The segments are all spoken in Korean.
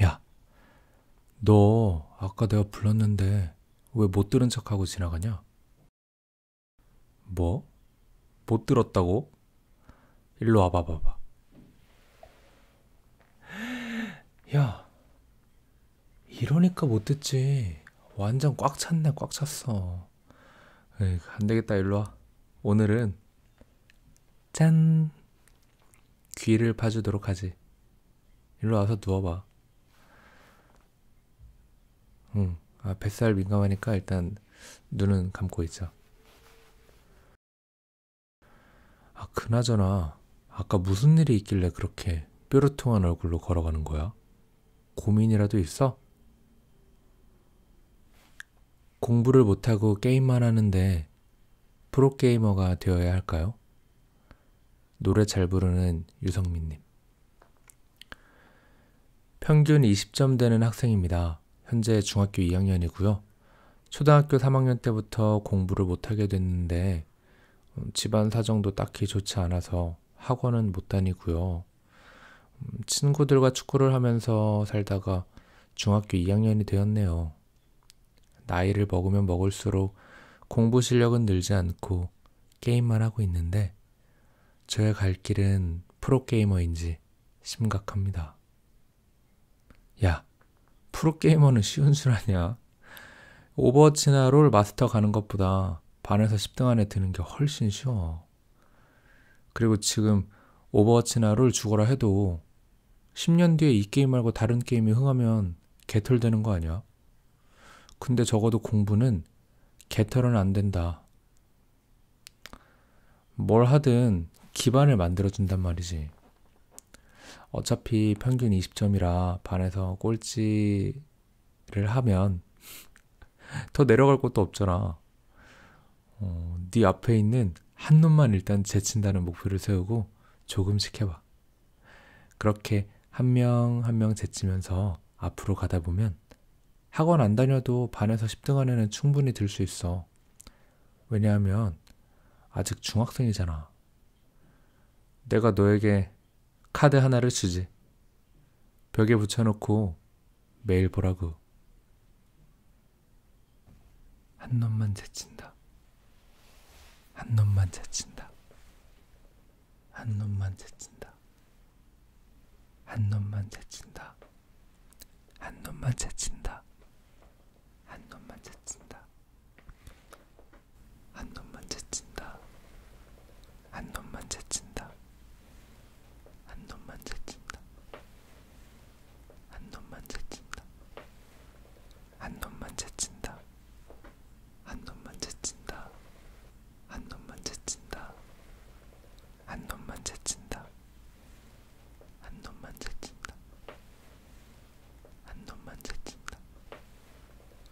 야, 너 아까 내가 불렀는데 왜 못 들은 척하고 지나가냐? 뭐? 못 들었다고? 일로 와봐 봐봐. 야, 이러니까 못 듣지. 완전 꽉 찼네, 꽉 찼어. 에이, 안 되겠다, 일로 와. 오늘은, 짠! 귀를 파주도록 하지. 일로 와서 누워봐. 응, 아, 뱃살 민감하니까 일단 눈은 감고 있자. 아, 그나저나, 아까 무슨 일이 있길래 그렇게 뾰루퉁한 얼굴로 걸어가는 거야? 고민이라도 있어? 공부를 못하고 게임만 하는데 프로게이머가 되어야 할까요? 노래 잘 부르는 유성민님. 평균 20점 되는 학생입니다. 현재 중학교 2학년이고요. 초등학교 3학년 때부터 공부를 못하게 됐는데 음, 집안 사정도 딱히 좋지 않아서 학원은 못 다니고요. 음, 친구들과 축구를 하면서 살다가 중학교 2학년이 되었네요. 나이를 먹으면 먹을수록 공부 실력은 늘지 않고 게임만 하고 있는데 저의 갈 길은 프로게이머인지 심각합니다. 야, 프로게이머는 쉬운 줄 아냐? 오버워치나 롤 마스터 가는 것보다 반에서 10등 안에 드는 게 훨씬 쉬워. 그리고 지금 오버워치나 롤 죽어라 해도 10년 뒤에 이 게임 말고 다른 게임이 흥하면 개털되는 거 아니야? 근데 적어도 공부는 개털은 안 된다. 뭘 하든 기반을 만들어준단 말이지. 어차피 평균 20점이라 반에서 꼴찌 를 하면 더 내려갈 곳도 없잖아. 어, 네 앞에 있는 한 놈만 일단 제친다는 목표를 세우고 조금씩 해봐. 그렇게 한명 한명 한 명 제치면서 앞으로 가다 보면 학원 안 다녀도 반에서 10등 안에는 충분히 들 수 있어. 왜냐하면 아직 중학생이잖아. 내가 너에게 카드 하나를 주지. 벽에 붙여놓고 매일 보라고. 한 놈만 제친다. 한 놈만 제친다. 한 놈만 제친다. 한 놈만 제친다. 한 놈만 제친다. 한 놈만 제친다. 한 놈만 제친다. 한 놈만 제친다. 한 놈만 제친다. 한 놈만 제친다. 한 놈만 제친다. 한 놈만 제친다. 한 놈만 제친다. 한 놈만 제친다. 한 놈만 제친다. 한 놈만 제친다.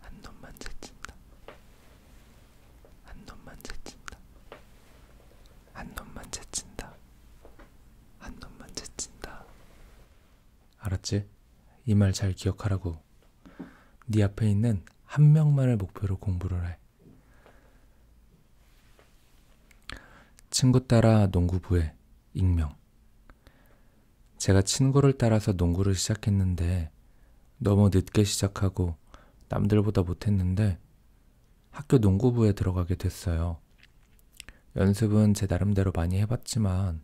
한 놈만 제친다. 한 놈만 제친다. 한 놈만 제친다. 한 놈만 제친다. 알았지? 이 말 잘 기억하라고. 네 앞에 있는 한 명만을 목표로 공부를 해. 친구 따라 농구부에 익명. 제가 친구를 따라서 농구를 시작했는데 너무 늦게 시작하고 남들보다 못했는데 학교 농구부에 들어가게 됐어요. 연습은 제 나름대로 많이 해봤지만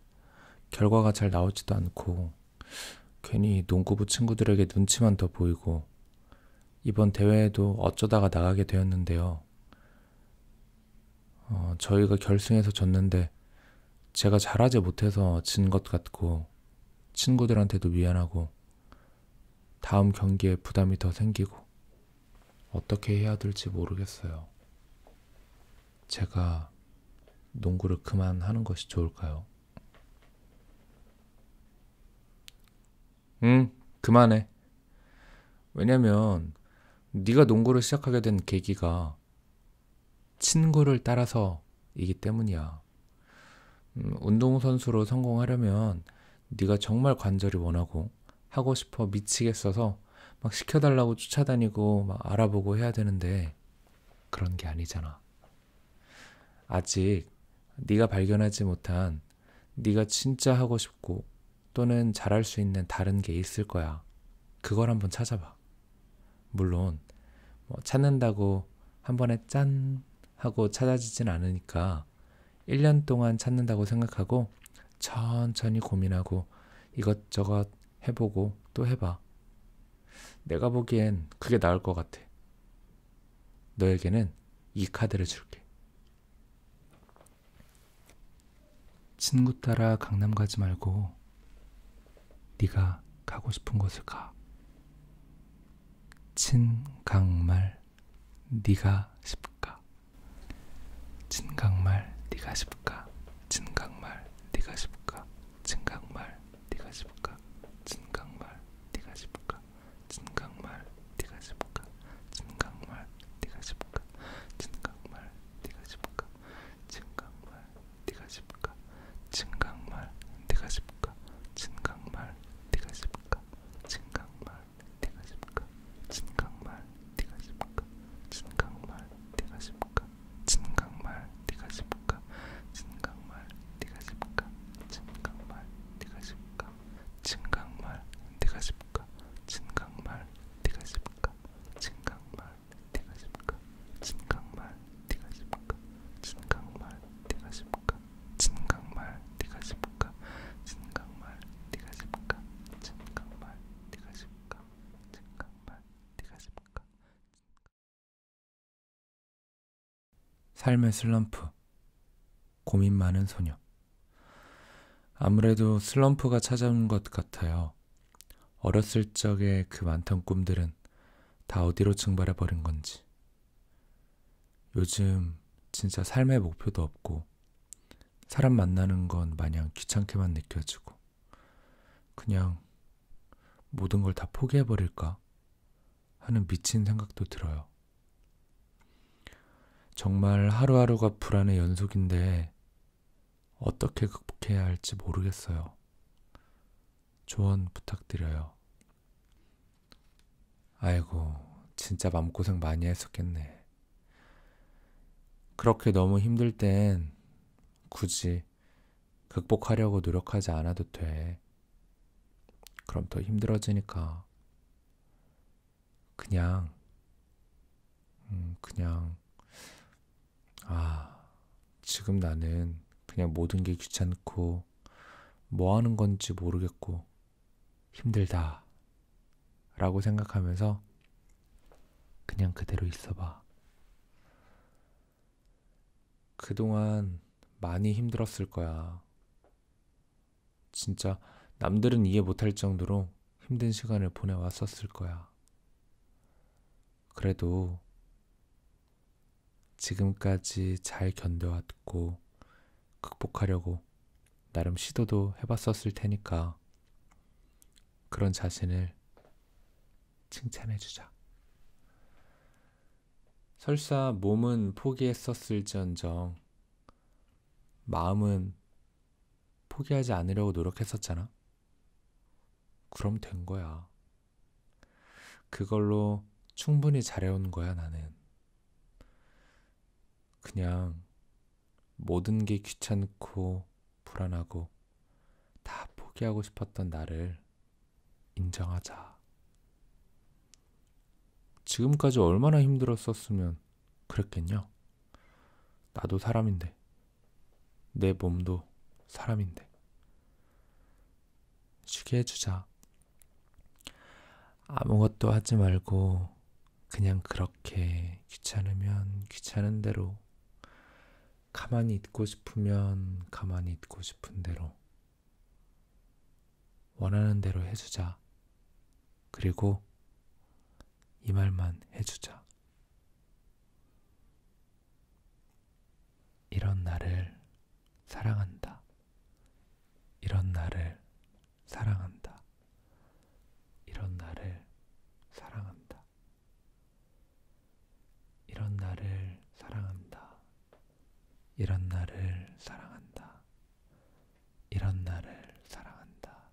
결과가 잘 나오지도 않고 괜히 농구부 친구들에게 눈치만 더 보이고 이번 대회에도 어쩌다가 나가게 되었는데요. 어, 저희가 결승에서 졌는데 제가 잘하지 못해서 진 것 같고 친구들한테도 미안하고 다음 경기에 부담이 더 생기고 어떻게 해야 될지 모르겠어요. 제가 농구를 그만하는 것이 좋을까요? 응, 그만해. 왜냐면 네가 농구를 시작하게 된 계기가 친구를 따라서이기 때문이야. 음, 운동선수로 성공하려면 네가 정말 관절이 원하고 하고 싶어 미치겠어서 막 시켜달라고 쫓아다니고 막 알아보고 해야 되는데 그런 게 아니잖아. 아직 네가 발견하지 못한 네가 진짜 하고 싶고 또는 잘할 수 있는 다른 게 있을 거야. 그걸 한번 찾아봐. 물론 뭐 찾는다고 한 번에 짠 하고 찾아지진 않으니까 1년 동안 찾는다고 생각하고 천천히 고민하고 이것저것 해보고 또 해봐. 내가 보기엔 그게 나을 것 같아. 너에게는 이 카드를 줄게. 친구 따라 강남 가지 말고 네가 가고 싶은 곳을 가. 친강말 네가 싶가. 친강말 네가 싶가. 친강말 네가 싶가. 친강말 네가 싶가. 친강말 네가 싶가. 친강말 네가 싶가. 친강말 네가 싶가. 친강말 네가 싶가. 진강말 네가 집까 진강말 네가 집까 진강말 네가 집까 진강말 네가 집까 진강말 네가 집까 진강말 네가 집까 진강말 네가 집까 진강말 네가 집까 진강말 네가 집까 진강말 네가 집까 진강말 네가 집까 진강말 대가십니까? 진강말 대가십니까? 진강말 대가십니까? 진강말 대가십니까? 진강말 대가십니까? 진강말 대가십니까? 진강말 대가십니까? 삶의 슬럼프 고민 많은 소녀 아무래도 슬럼프가 찾아온 것 같아요. 어렸을 적에 그 많던 꿈들은 다 어디로 증발해 버린 건지. 요즘 진짜 삶의 목표도 없고, 사람 만나는 건 마냥 귀찮게만 느껴지고, 그냥 모든 걸 다 포기해 버릴까 하는 미친 생각도 들어요. 정말 하루하루가 불안의 연속인데, 어떻게 극복해야 할지 모르겠어요. 조언 부탁드려요. 아이고, 진짜 마음고생 많이 했었겠네. 그렇게 너무 힘들 땐 굳이 극복하려고 노력하지 않아도 돼. 그럼 더 힘들어지니까. 그냥, 음, 그냥, 아, 지금 나는 그냥 모든 게 귀찮고 뭐 하는 건지 모르겠고 힘들다 라고 생각하면서 그냥 그대로 있어봐. 그동안 많이 힘들었을 거야. 진짜 남들은 이해 못 할 정도로 힘든 시간을 보내왔었을 거야. 그래도 지금까지 잘 견뎌왔고 극복하려고 나름 시도도 해봤었을 테니까 그런 자신을 칭찬해주자. 설사 몸은 포기했었을지언정 마음은 포기하지 않으려고 노력했었잖아. 그럼 된 거야. 그걸로 충분히 잘해온 거야, 나는. 그냥 모든 게 귀찮고 불안하고 다 포기하고 싶었던 나를 인정하자. 지금까지 얼마나 힘들었었으면 그랬겠냐? 나도 사람인데. 내 몸도 사람인데. 쉬게 해주자. 아무것도 하지 말고 그냥 그렇게 귀찮으면 귀찮은 대로 가만히 있고 싶으면 가만히 있고 싶은 대로 원하는 대로 해주자. 그리고 이 말만 해주자. 이런 나를 사랑한다. 이런 나를 사랑한다. 이런 나를 사랑한다. 이런 나를 사랑한다. 이런 나를 사랑한다. 이런 나를 사랑한다.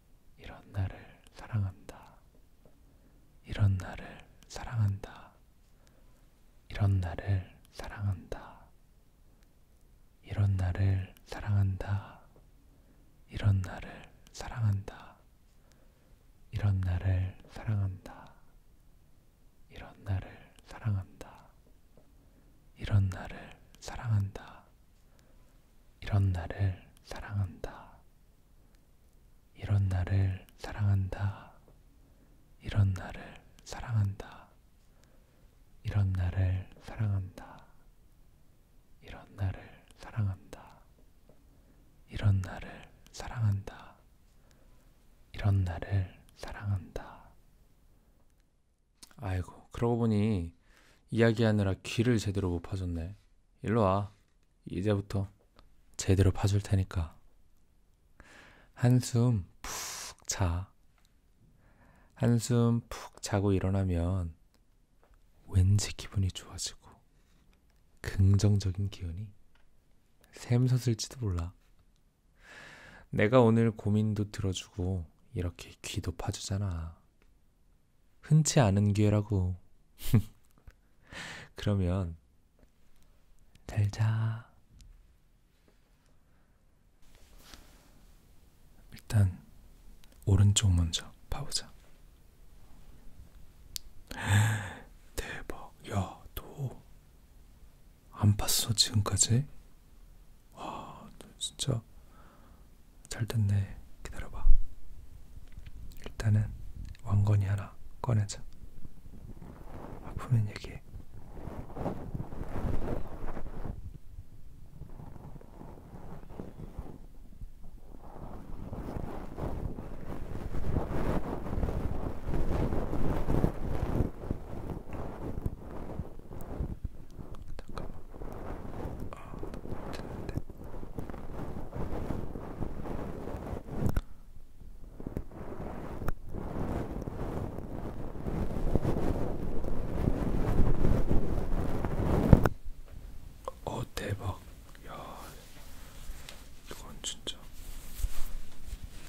이런 나를 사랑한다. 이런 나를 사랑한다. 이런 나를 사랑한다. 이런 나를 사랑한다. 이런 나를 사랑한다. 이런 나를 사랑한다. 이런 나를 사랑한다. 이런 나를 사랑한다. 이런 나를 사랑한다. 이런 나를 사랑한다. 이런 나를 사랑한다. 이런 나를 사랑한다. 이런 나를 사랑한다. 이런 나를 사랑한다. 이런 나를 사랑한다. 아이고, 그러고 보니 이야기하느라 귀를 제대로 못 파줬네. 일로 와. 이제부터 제대로 파줄 테니까. 한숨 푹 자. 한숨 푹 자고 일어나면 왠지 기분이 좋아지고 긍정적인 기운이 샘솟을지도 몰라. 내가 오늘 고민도 들어주고 이렇게 귀도 파주잖아. 흔치 않은 기회라고. 그러면 잘 자. 일단 오른쪽 먼저 봐보자. 대박. 야, 너 안 봤어 지금까지? 와, 너 진짜 잘 됐네. 기다려봐. 일단은 왕건이 하나 꺼내자. 아프면 얘기해. 잠깐만. 어, 듣는데 어 대박 야 이건 진짜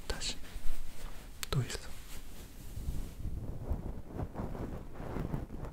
다시 또 있어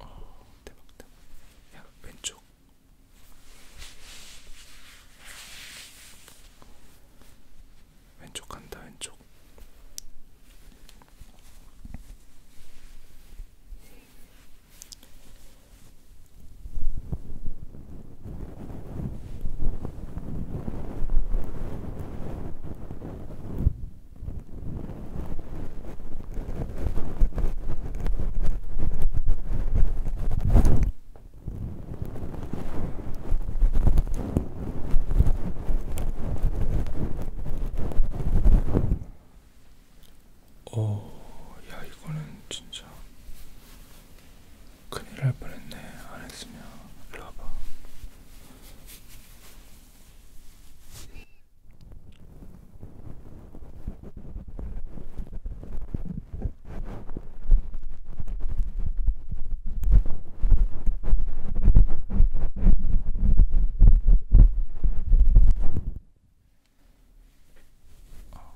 어, 대박, 대박. 야, 왼쪽. 왼쪽 간다 왼쪽 어, 야, 이거는 진짜 큰일 날 뻔했네. 안 했으면 일로 와봐. 아,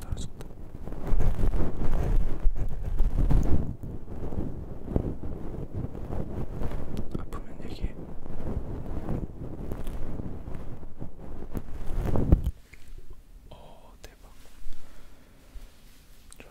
달라졌다. 아프면 얘기해. 어, 대박. 좋아.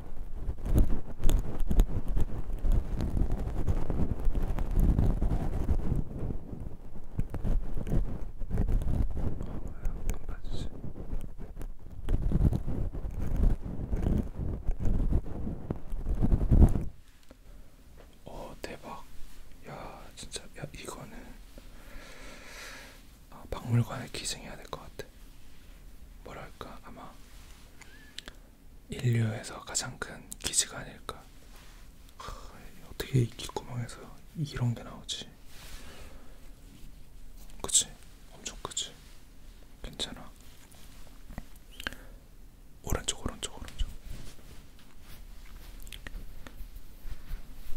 봐주세요. 어 대박. 야 진짜 야 이거는 아, 박물관에 기증해야 될 것 같아. 같아. 뭐랄까 아마 인류에서 가장 큰 기지가 아닐까. 하, 어떻게 이 귓구멍에서 이런 게 나오지? 그치? 엄청 크지? 괜찮아. 오른쪽 오른쪽 오른쪽.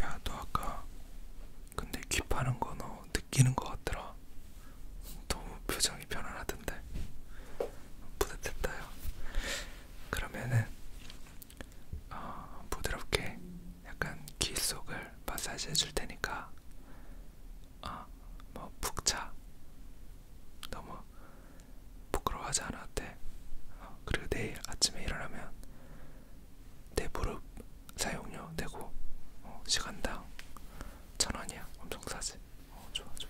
야너 아까 근데 귀 파는 거너 느끼는 것 같더라. 너무 표정이 편안하던데. 뿌듯했다요. 그러면은 어, 부드럽게 약간 귀 속을 마사지 해줄 테니까 어, 뭐푹 자. 너무 부끄러워하지 않아도 돼. 어, 그리고 내일 아침에 일어나면 내 무릎 사용료 되고 어, 시간당 천 원이야. 엄청 싸지. 어, 좋아, 좋아.